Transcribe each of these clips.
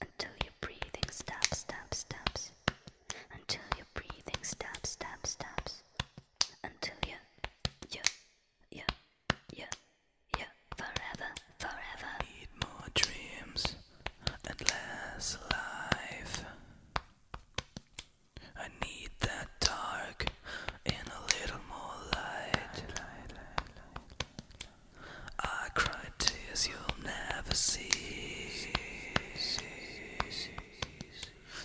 Until your breathing stops, stops, stops. Until your breathing stops, stops, stops. Until you, you, you, you, you forever, forever. Need more dreams and less life. I need that dark and a little more light. I cry tears you'll never see.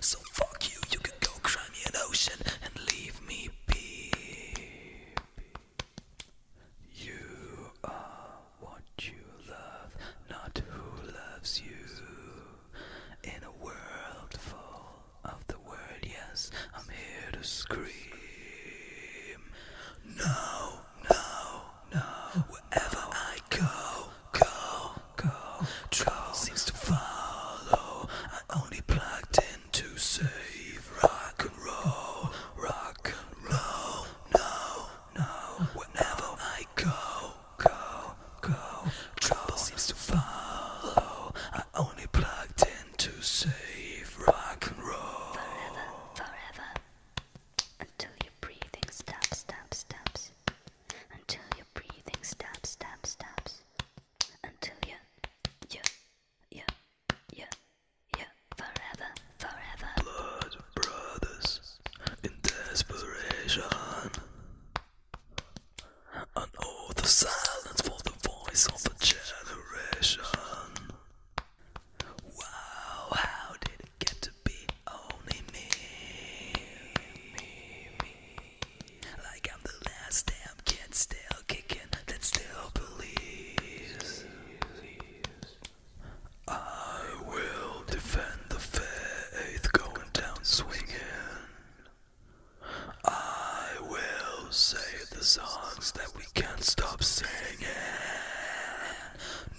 So fuck you, you can go cry in an ocean and leave me be. You are what you love, not who loves you. In a world full of the world, yes, I'm here to scream. No, no, no, wherever I go, go, go. Trouble seems to follow. I only plugged in to save rock and roll, rock and roll. No, no, whenever I go, go, go, trouble seems to follow. I only plugged in to save rock and roll. Forever, forever, until your breathing stops, stops, stops, until your breathing stops, stops, stops, until you, you, you. Yeah, yeah, forever, forever. Blood brothers in desperation. An oath of silence for the voice of a generation. Wow, how did it get to be only me? me. Like I'm the last damn kid still still kicking, that still believes. I will defend the faith, going down swinging. I will say the songs that we can't stop singing.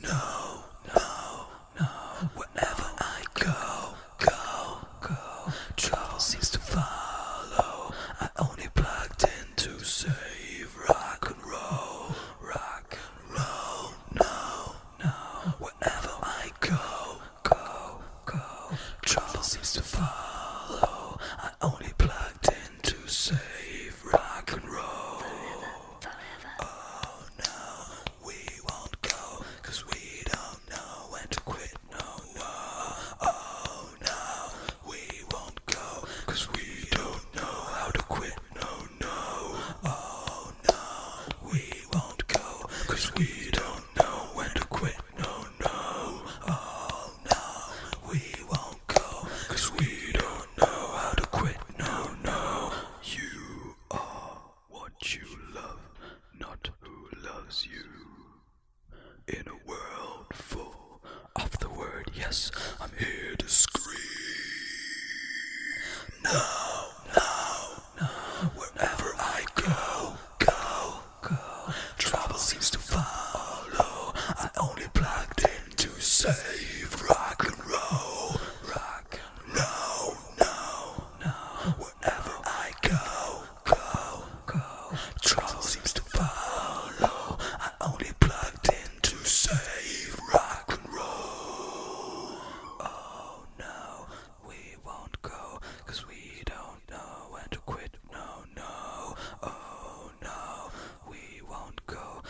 No, no, no. Wherever I go, go, go. Trouble seems to follow. I only plugged in to save rock and roll, rock and roll, no, no. Wherever I go, go, go, trouble seems to follow. I only plugged in to save rock and roll. Oh no, we won't go, we don't know when to quit, no. Oh no, we won't go, cause we don't know how to quit, no, no, oh no, we won't go, we don't know when to quit, no, no, oh no, we won't go, we don't know how to quit, no, no, you are what you love, not who loves you, in a world full of the word. Yes, I'm here to scream. Now, now, now, wherever I go, go, go. Trouble seems to follow. I only plugged in to save rock and roll. Rock no, no. Wherever I go, go, go. Trouble seems to follow only plugged in to save rock and roll. Oh no, we won't go, cause we don't know when to quit. No, no, oh no, we won't go,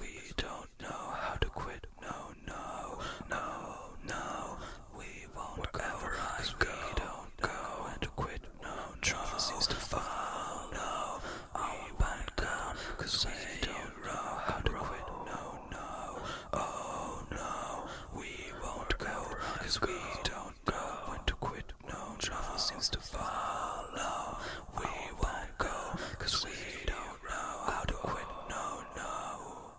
we don't know how to quit. No, no, no, no, we won't Wherever we don't go to quit. No, no, refuse to oh, follow. No, I won't come. Cause we don't know how to quit. No, oh, no, oh no, we won't go. Cause we don't know when to quit. to fall. No, we will Cause we don't know how to quit. No, no.